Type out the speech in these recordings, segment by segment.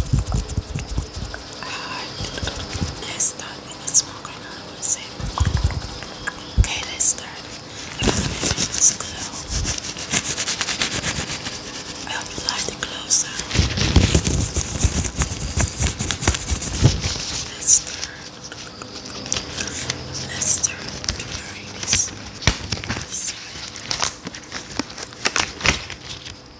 Uh, let's start with the smoke grenade, I Okay, let's start. Let's glow. I hope you like the glow Let's start. Let's start the earrings. Let's start.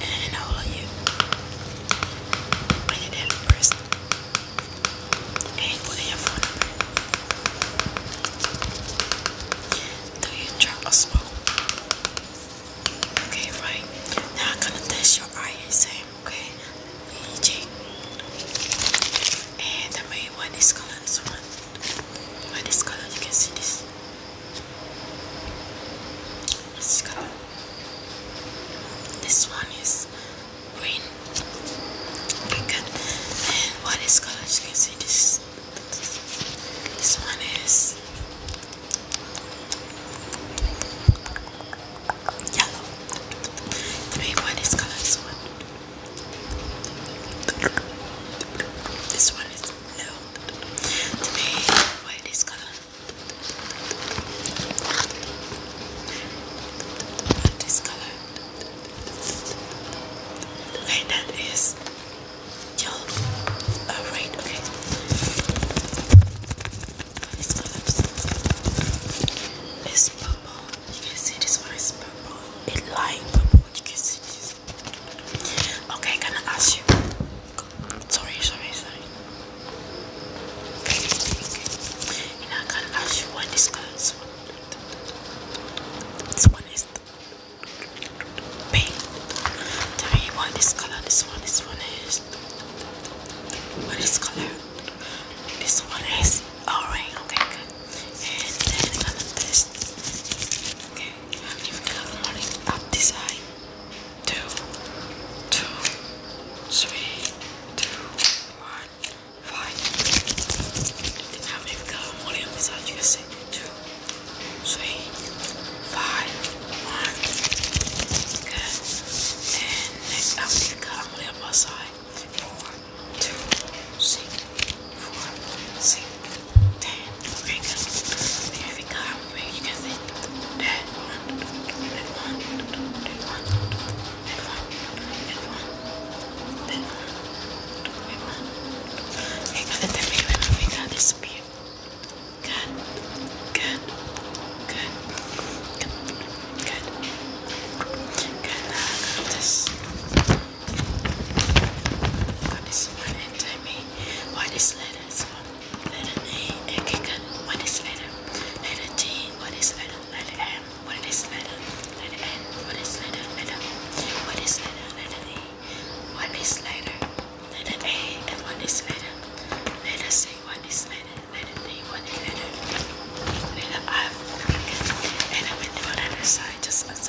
And all of you. Bring it down first. And put your phone Do you drop a smoke? Okay, right. Now I'm gonna test your eye okay? EEG. And the main one is gonna this one by this color you can see this this color this one is green okay, and what is color you can see this this one is yellow three what is color this one this one is blue to be why this color this color okay that is yellow uh, okay this color is purple you can see this one is purple it light purple you can see this Okay, can I ask you? Sorry, sorry, sorry. Okay. And I can ask you what this goes. This one is pink. Tell me what this color. This one. This one is. What is color? This one is orange. Okay, good. Okay. Give me a running up this eye. Two, two, three, two, one, five. Now maybe go only up this eye. You can say two, three, five, one. Good. And next up you go only up one side. Four, two, six, four, six. Damn. Okay, good. Here we go. Maybe you can see that one, that one, that one, that one, that one, that one, that one. Okay, got it. Baby, we got this beer. Good, good, good, good, good. Good. this one and I mean. What is letter? So, letter A, and kicken. What is letter? Letter G, what is letter? Letter M, what is letter? Letter N, what is letter? Letter O, what is letter? Letter E, what is letter? Letter A, and what is letter? Letter C, what is letter? Letter D, what is letter? Letter F, and I will do on the other side, just as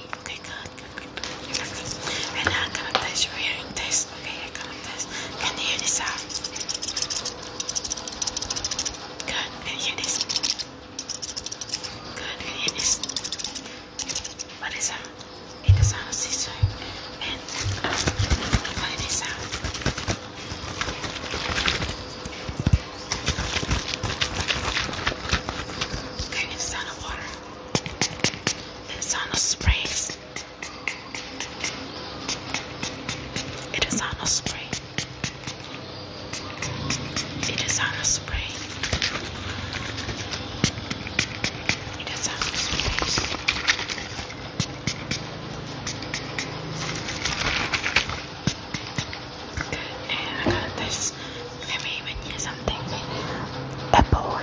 Okay, good, good, good, good. And I'm gonna test your hearing test. Okay, I'm gonna test. Can you hear this out? Good, can you hear this? Good, can you hear this? What is that? what is that? Okay, it's on the water. It's on the sprays. It is on the spray. It is on the spray. It is on the spray. And I got this for me when you something. Apple.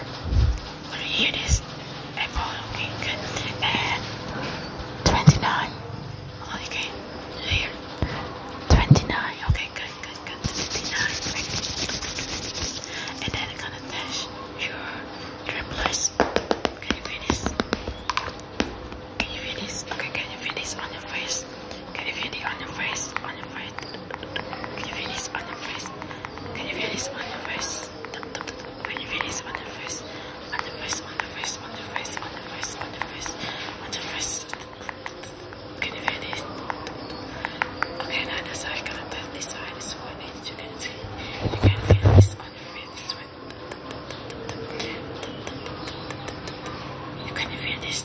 Will you hear this? Apple, okay, good. And uh, 29. Okay, here. 29, okay, good, good, good. 29, And then I'm gonna dash your dribblers. Can you feel this? Can you feel this? Okay, can you feel this on your face? face? Can you feel it on your face? On your face? Can you feel this on your face? Can you feel this on your face? Can you feel this on your face? On your face, on your face, on your face, on your face, on your face, on your face. Can you feel this? Okay, now this side, gonna turn this side, this one, and you can see. You can feel this on your face, this one. You can feel this.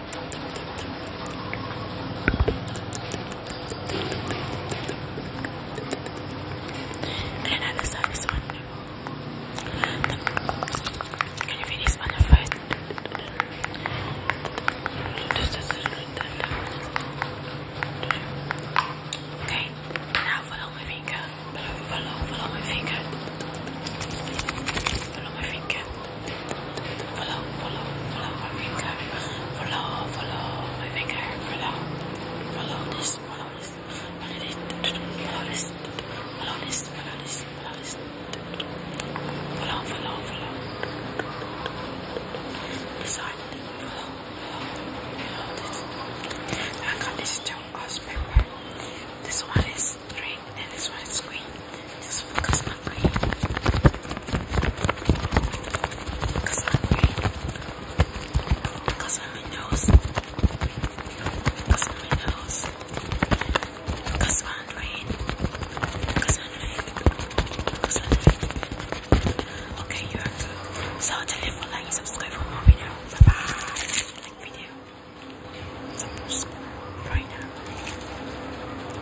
And Can you finish on the Okay, now follow my finger. follow, follow my finger. Follow my finger. Follow, follow, follow my finger. Follow, follow my finger. Follow, follow this, follow this, follow this, follow this, follow this, follow this, follow this. Follow, follow, follow. Decide to follow, follow, this. I got this two us paper. This one is green and this one is green. Just focus on hungry. Okay, you are too. So tell you for like subscribe for more video. Bye bye. Like video. right now.